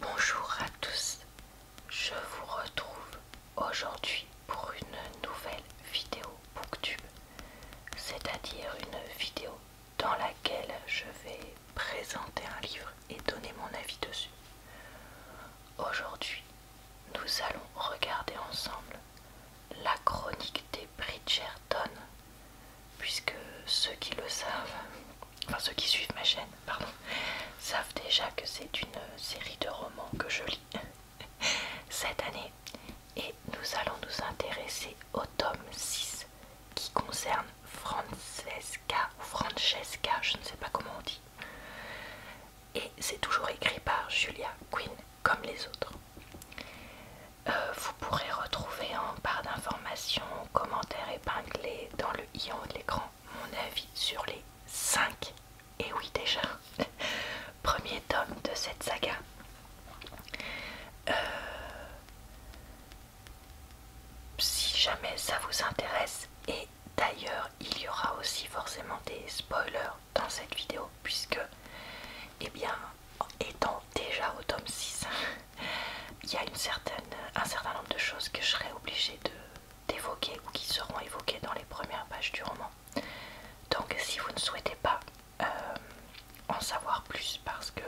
Bonjour à tous, je vous retrouve aujourd'hui pour une nouvelle vidéo Booktube, c'est-à-dire une vidéo dans laquelle je vais présenter un livre et donner mon avis dessus. Aujourd'hui, nous allons regarder ensemble La chronique des Bridgerton puisque ceux qui le savent, enfin ceux qui suivent ma chaîne, pardon, savent déjà que c'est une série de romans que je lis cette année. Et nous allons nous intéresser au tome 6 qui concerne Francesca ou Francesca, je ne sais pas comment on dit. Et c'est toujours écrit par Julia Quinn comme les autres. Euh, vous pourrez retrouver en part d'informations, commentaires épinglés dans en haut de l'écran mon avis sur les 5 et oui déjà premier tome de cette saga euh, si jamais ça vous intéresse et d'ailleurs il y aura aussi forcément des spoilers dans cette vidéo puisque eh bien étant déjà au tome 6 il y a une certaine, un certain nombre de choses que je serai obligée d'évoquer ou qui seront évoquées dans les premières pages du roman. Donc si vous ne souhaitez pas euh, en savoir plus parce que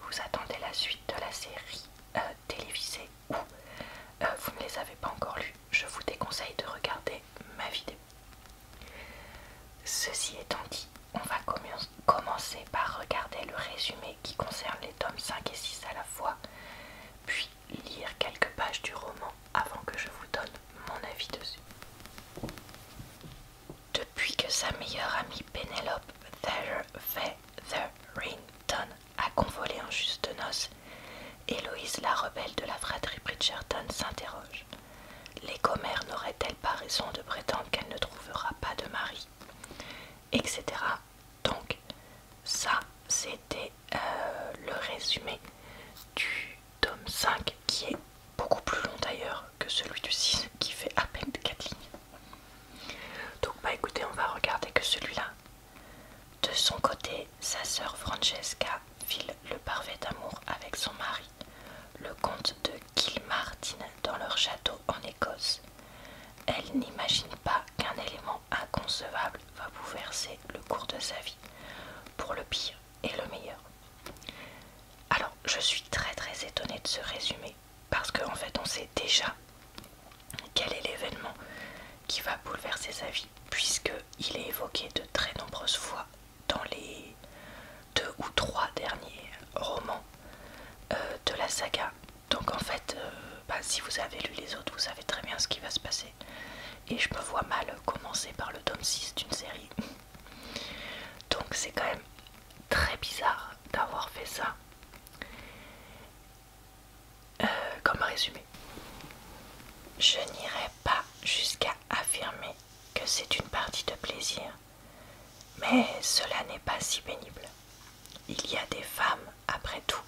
vous attendez la suite de la série euh, télévisée ou euh, vous ne les avez pas encore lues, je vous déconseille de regarder ma vidéo. Ceci étant dit, on va commencer par regarder le résumé qui concerne les tomes 5 et 6 à la fois, puis lire quelques pages du roman avant que je vous donne mon avis dessus. Depuis que sa meilleure amie Pénélope Featherington a convolé en juste noces, Héloïse, la rebelle de la fratrie Bridgerton, s'interroge. Les commères n'auraient-elles pas raison de prétendre qu'elle ne trouvera pas de mari etc. Donc ça c'était euh, le résumé du tome 5 qui est beaucoup plus long d'ailleurs que celui du 6 qui fait à peine 4 lignes. Donc bah écoutez on va regarder que celui-là. De son côté, sa sœur Francesca file le parfait amour avec son mari, le comte de martinent dans leur château en Écosse. Elle n'imagine pas qu'un élément inconcevable va bouleverser le cours de sa vie, pour le pire et le meilleur. Alors, je suis très très étonnée de ce résumé, parce qu'en fait, on sait déjà quel est l'événement qui va bouleverser sa vie, puisqu'il est évoqué de très nombreuses fois dans les deux ou trois derniers romans euh, de la saga. Donc en fait, euh, bah, si vous avez lu les autres, vous savez très bien ce qui va se passer. Et je me vois mal commencer par le tome 6 d'une série. Donc c'est quand même très bizarre d'avoir fait ça euh, comme résumé. Je n'irai pas jusqu'à affirmer que c'est une partie de plaisir, mais cela n'est pas si pénible. Il y a des femmes, après tout.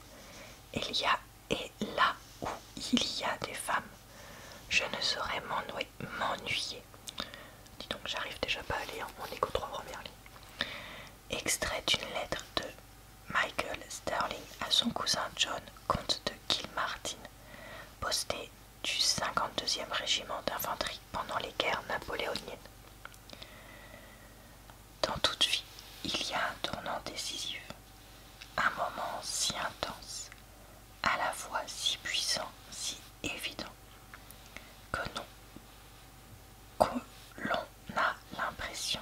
Il y a et là où il y a des femmes, je ne saurais m'ennuyer. Dis donc, j'arrive déjà pas à lire, on est Extrait d'une lettre de Michael Sterling à son cousin John, comte de Kilmartin, postée du 52e régiment d'infanterie pendant les guerres napoléoniennes. Dans toute vie, il y a un tournant décisif, un moment si intense, à la fois si puissant, si évident, que l'on a l'impression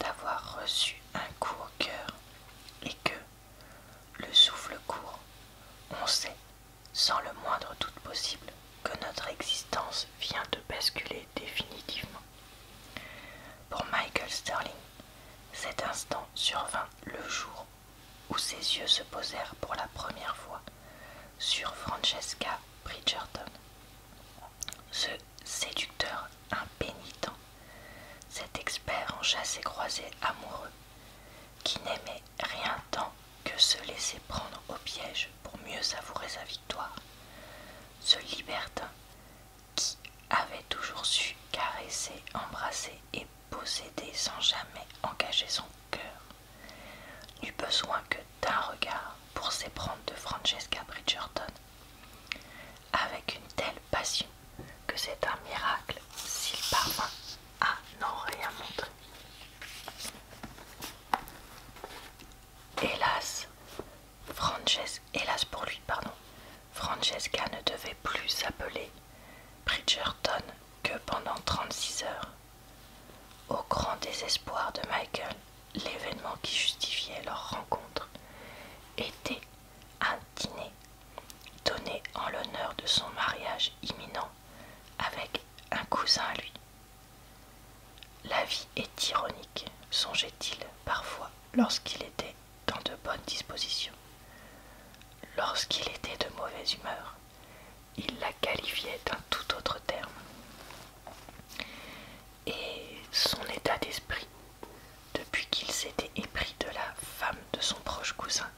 d'avoir reçu un coup au cœur et que, le souffle court, on sait sans le moindre doute possible, que notre existence vient de basculer définitivement. Pour Michael Sterling, cet instant survint le jour où ses yeux se posèrent pour la première fois sur Francesca Bridgerton. Ce séducteur impénitent, cet expert en chasse et croisée amoureux, qui n'aimait rien tant que se laisser prendre au piège pour mieux savourer sa victoire. Ce libertin, qui avait toujours su caresser, embrasser et posséder sans jamais engager son cœur, n'eut besoin que d'un regard pour s'éprendre de Francesca Bridgerton, avec une telle passion que c'est un miracle s'il parvint ah non, rien montré. Hélas, hélas pour lui, pardon, Francesca ne devait plus s'appeler Bridgerton que pendant 36 heures. Au grand désespoir de Michael, l'événement qui justifiait leur rencontre était un dîner Donné en l'honneur de son mariage imminent avec un cousin à lui. La vie est ironique, songeait-il parfois lorsqu'il était dans de bonnes dispositions. Lorsqu'il était de mauvaise humeur, il la qualifiait d'un tout autre terme. Et son état d'esprit, depuis qu'il s'était épris de la femme de son proche cousin,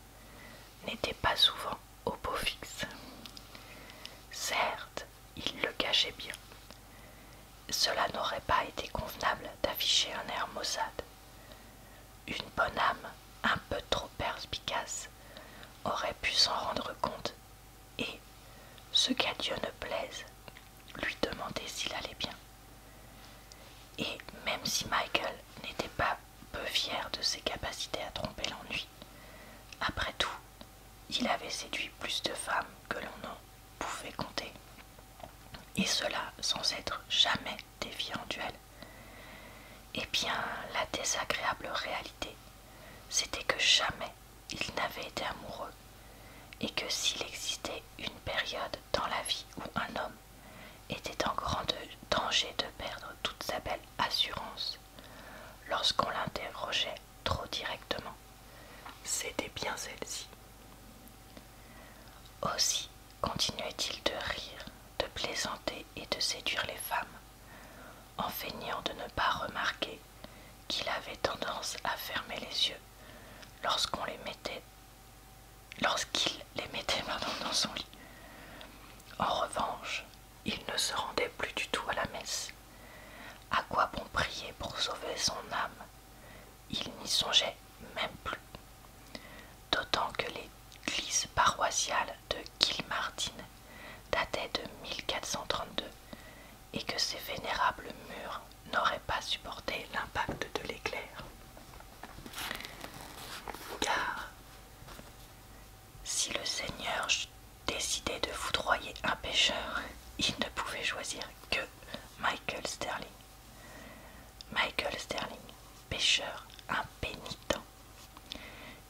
n'était pas souvent au beau fixe. Certes, il le cachait bien. Cela n'aurait pas été convenable d'afficher un air maussade. Une bonne âme, un peu trop perspicace, aurait pu s'en rendre compte et, ce qu'à Dieu ne plaise, lui demander s'il allait bien. Et même si Michael n'était pas peu fier de ses capacités à tromper l'ennui. Après tout, il avait séduit plus de femmes que l'on en pouvait compter, et cela sans être jamais défié en duel. Eh bien, la désagréable réalité, c'était que jamais il n'avait été amoureux, et que s'il existait une période dans la vie où un homme était en grand danger de perdre toute sa belle assurance lorsqu'on l'interrogeait trop directement. C'était bien celle-ci. Aussi continuait-il de rire, de plaisanter et de séduire les femmes, en feignant de ne pas remarquer qu'il avait tendance à fermer les yeux lorsqu'on les mettait lorsqu'il les mettait maintenant dans son lit. En revanche, il ne se rendait plus du tout à la messe. À quoi bon prier pour sauver son âme Il n'y songeait même plus. D'autant que l'église paroissiale de Kilmartine datait de 1432 et que ses vénérables murs n'auraient pas supporté l'impact de l'éclair. Car si le Seigneur décidait de foudroyer un pêcheur, il ne pouvait choisir que Michael Sterling. Michael Sterling, pêcheur impénitent.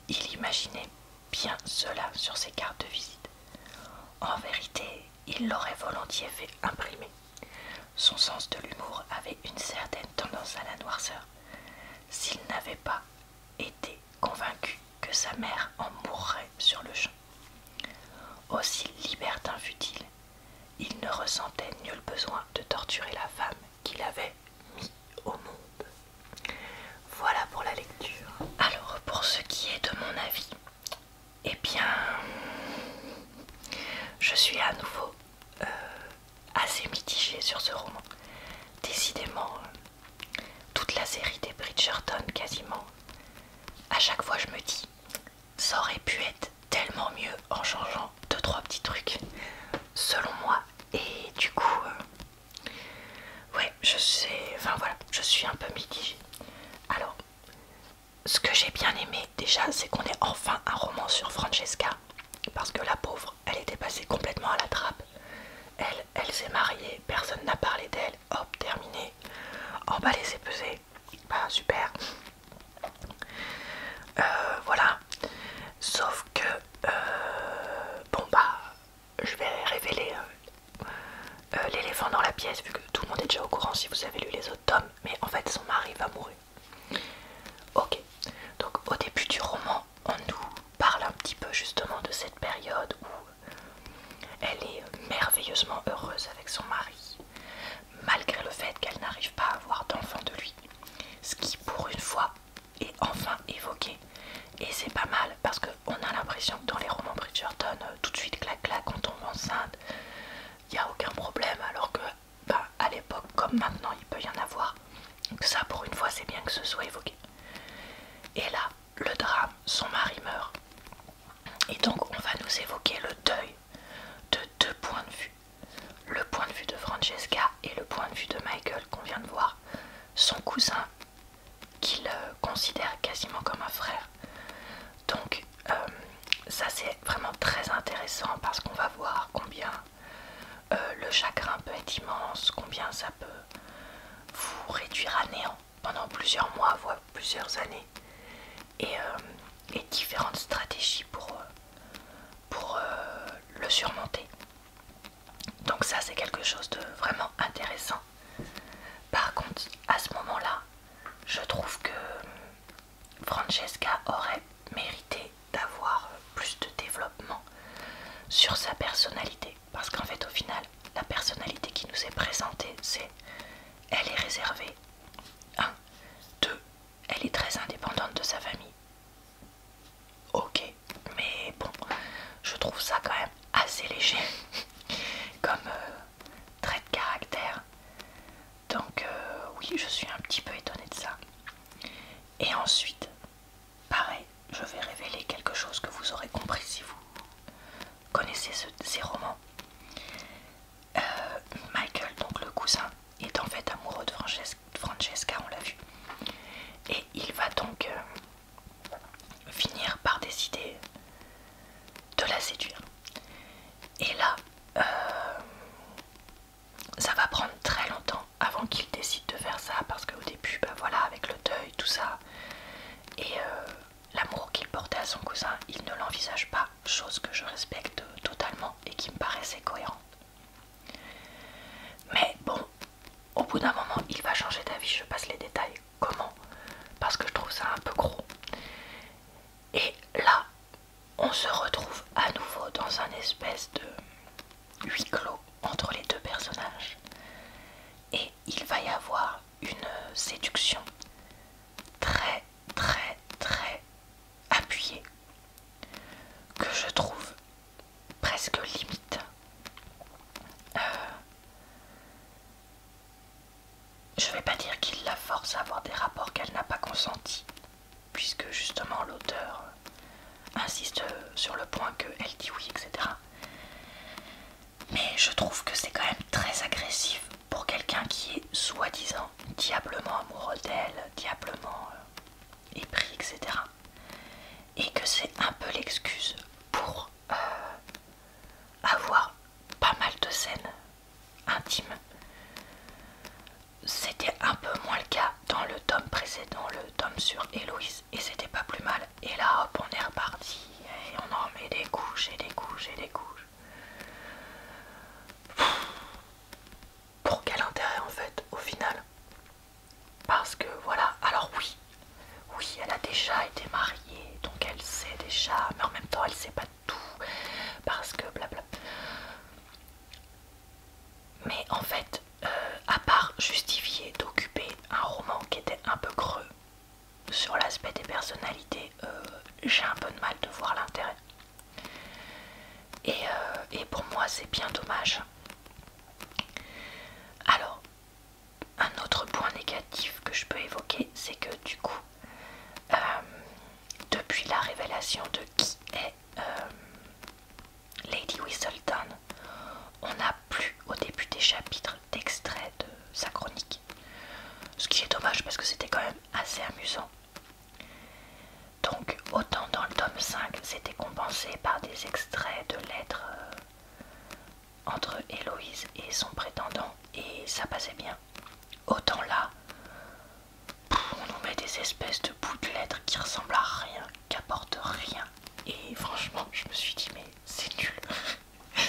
Il imaginait bien cela sur ses cartes de visite. En vérité, il l'aurait volontiers fait imprimer. Son sens de l'humour avait une certaine tendance à la noirceur. S'il n'avait pas été convaincu que sa mère en mourrait sur le champ. Aussi libertin fut-il, il ne ressentait nul besoin de torturer la femme qu'il avait mis au monde. Voilà pour la lecture. Alors pour ce qui est de mon avis, eh bien, je suis à nouveau euh, assez mitigée sur ce roman. Décidément, euh, toute la série des Bridgerton, quasiment, à chaque fois je me dis, ça aurait pu être tellement mieux en changeant 2 trois petits trucs, selon moi. Et du coup, euh, ouais, je sais, enfin voilà, je suis un peu mitigée. Alors, ce que j'ai bien aimé déjà, c'est qu'on ait enfin un roman sur Francesca. Parce que la pauvre, elle était passée complètement à la trappe. Elle, elle s'est mariée, personne n'a parlé d'elle. Hop, terminé. En bas les pesé. super. Euh, voilà. Sauf que euh, bon bah je vais révéler euh, l'éléphant dans la pièce vu que tout le monde est déjà au courant si vous avez lu les autres tomes mais en fait son mari va mourir. Ok, donc au début du roman, on nous parle un petit peu justement de cette période où elle est merveilleusement heureuse avec son mari, malgré le fait qu'elle n'arrive pas à avoir d'enfant de lui. Ce qui pour une fois est enfin évoqué. Et c'est pas mal parce qu'on a l'impression que dans les romans Bridgerton, euh, tout de suite clac clac on tombe enceinte, il n'y a aucun problème alors que bah, à l'époque comme maintenant il peut y en avoir. Donc ça pour une fois c'est bien que ce soit évoqué. Et là, le drame, son mari meurt. Et donc on va nous évoquer le deuil de deux points de vue. Le point de vue de Francesca et le point de vue de Michael qu'on vient de voir. Son cousin qu'il euh, considère quasiment comme un frère donc euh, ça c'est vraiment très intéressant parce qu'on va voir combien euh, le chagrin peut être immense, combien ça peut vous réduire à néant pendant plusieurs mois, voire plusieurs années. Et, euh, différentes stratégies pour, pour le surmonter. Donc ça c'est quelque chose de vraiment intéressant. Par contre, à ce moment-là, je trouve que Francesca aurait mérité d'avoir plus de développement sur sa personnalité. Parce qu'en fait, au final, la personnalité qui nous est présentée, c'est elle est réservée. 1. 2. Elle est très indépendante de sa famille. Ok, mais bon, je trouve ça quand même assez léger comme euh, trait de caractère donc euh, oui, je suis un petit peu étonnée de ça. Et ensuite, pareil, je vais révéler quelque chose que vous aurez compris si vous connaissez ces romans. Euh, Michael, donc le cousin, est en fait amoureux de Francesca, on l'a vu. Et il va donc euh, finir par décider de la séduire. Et là, euh, ça va prendre très longtemps avant qu'il décide de faire ça parce qu'au début, ben voilà, avec le deuil, tout ça, et euh, l'amour qu'il portait à son cousin, il ne l'envisage pas, chose que je respecte totalement et qui me paraissait cohérente. Mais bon, au bout d'un moment, il va changer d'avis, je passe les détails comment Parce que je trouve ça un peu gros. Et là, on se retrouve à nouveau dans un espèce de huis clos entre les deux personnages. Et il va y avoir une séduction très très très appuyée que je trouve presque limite. Euh, je ne vais pas dire qu'il la force à avoir des rapports qu'elle n'a pas consentis, puisque justement l'auteur insiste sur le point qu'elle dit oui, etc. Mais je trouve que c'est quand même très agressif pour quelqu'un qui est soi-disant diablement amoureux d'elle, diablement euh, épris, etc. Et que c'est un peu l'excuse pour euh, avoir pas mal de scènes intimes. C'était un peu moins le cas dans le tome précédent, le tome sur Héloïse, et c'était pas plus mal. Et là, hop, on est reparti et on en met des couches et des couches et des couches. Pour quel intérêt en fait, au final Parce que voilà, alors oui, oui, elle a déjà été mariée, donc elle sait déjà, mais en même temps elle sait pas tout, parce que blablabla Mais en fait, euh, à part justifier d'occuper un roman qui était un peu creux sur l'aspect des personnalités, euh, j'ai un peu de mal de voir l'intérêt. Et, euh, et pour moi, c'est bien dommage. Alors, un autre point négatif que je peux évoquer, c'est que du coup, euh, depuis la révélation de qui est euh, Lady Whistleton on n'a plus au début des chapitres d'extraits de sa chronique. Ce qui est dommage parce que c'était quand même assez amusant. Donc autant dans le tome 5 c'était compensé par des extraits de lettres euh, entre Héloïse et son prétendant et ça passait bien. Autant là, on nous met des espèces de bouts de lettres qui ressemblent à rien, qui apportent rien. Et franchement, je me suis dit, mais c'est nul.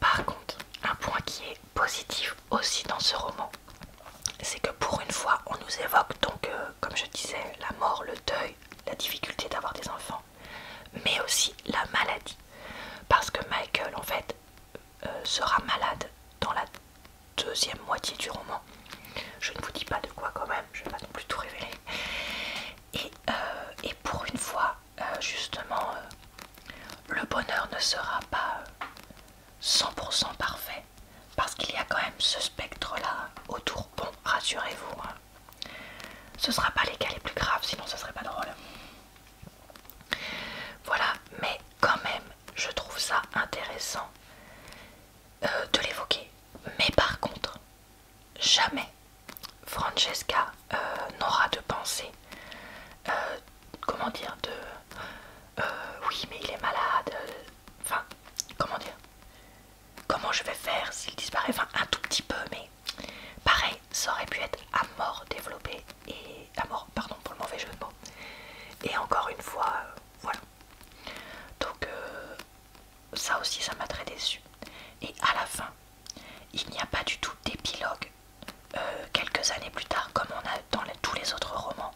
Par contre, un point qui est positif aussi dans ce roman, c'est que pour une fois, on nous évoque donc, euh, comme je disais, la mort, le deuil, la difficulté d'avoir des enfants mais aussi la maladie. Parce que Michael, en fait, euh, sera malade dans la deuxième moitié du roman. Je ne vous dis pas de quoi quand même, je ne vais pas non plus tout révéler. Et, euh, pour une fois, euh, justement, le bonheur ne sera pas 100% parfait. Parce qu'il y a quand même ce spectre-là autour. Bon, rassurez-vous, hein. Ce sera pas les cas les plus graves, sinon ce serait pas drôle. Voilà, mais quand même, je trouve ça intéressant euh, de l'évoquer. Mais par contre, jamais Francesca euh, n'aura de pensée. Euh, comment dire de oui mais il est malade enfin comment dire comment je vais faire s'il disparaît, enfin un tout petit peu, mais pareil, ça aurait pu être à mort développé et à mort, pardon pour le mauvais jeu de mots. Et encore une fois, euh, voilà. Donc euh, ça aussi, ça m'a très déçu. Et à la fin, il n'y a pas du tout d'épilogue euh, quelques années plus tard, comme on a dans tous les autres romans.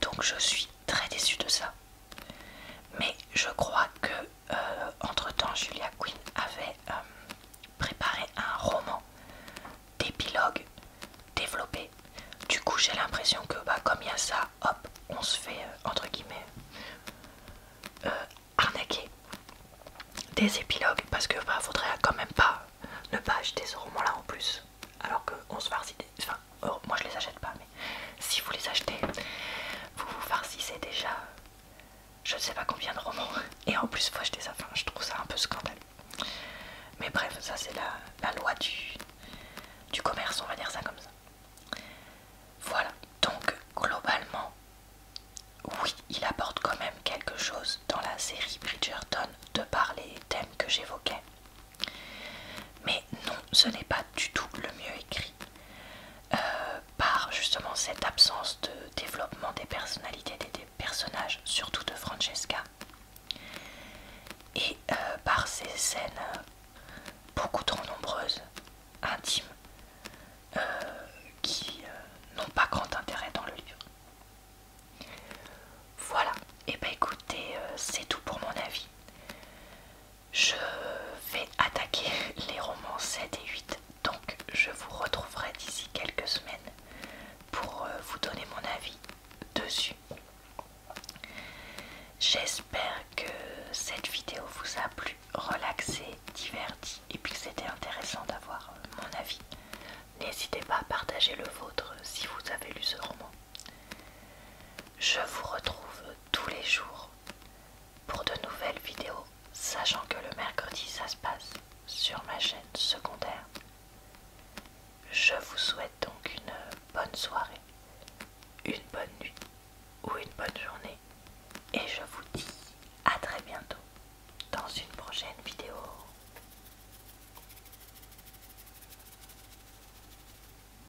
Donc je suis très déçue de ça. Mais je crois que euh, entre-temps, Julia Quinn avait euh, préparé un roman d'épilogue développé. Du coup, j'ai l'impression que bah, comme il y a ça, hop, on se fait, euh, entre guillemets, arnaquer des épilogues parce que bah, faudrait quand même pas ne pas acheter ce roman là en plus alors qu'on se voit enfin oh, moi je les achète pas si vous les achetez, vous vous farcissez déjà je ne sais pas combien de romans, et en plus vous achetez ça, je trouve ça un peu scandaleux. Mais bref, ça c'est la, loi du, du commerce, on va dire ça comme ça. Voilà, donc globalement, oui, il apporte quand même quelque chose dans la série Bridgerton de par les thèmes que j'évoquais. Mais non, ce n'est pas du tout le mieux écrit. Euh, par justement cette absence de développement des personnalités des, personnages, surtout de Francesca, et euh, par ces scènes euh, beaucoup trop nombreuses, intimes, qui n'ont pas grand intérêt dans le livre. Voilà, et eh ben écoutez, c'est tout pour mon avis je vais attaquer les romans 7 et 8, donc je vous retrouverai d'ici quelques semaines pour euh, vous donner mon avis dessus. J'espère que cette vidéo vous a plu, relaxé, diverti et puis que c'était intéressant d'avoir euh, mon avis. N'hésitez pas à partager le vôtre si vous avez lu ce roman. Je vous retrouve tous les jours pour de nouvelles vidéos, sachant que le mercredi ça se passe sur ma chaîne secondaire. Je vous souhaite donc une bonne soirée, une bonne nuit ou une bonne journée et je vous dis à très bientôt dans une prochaine vidéo.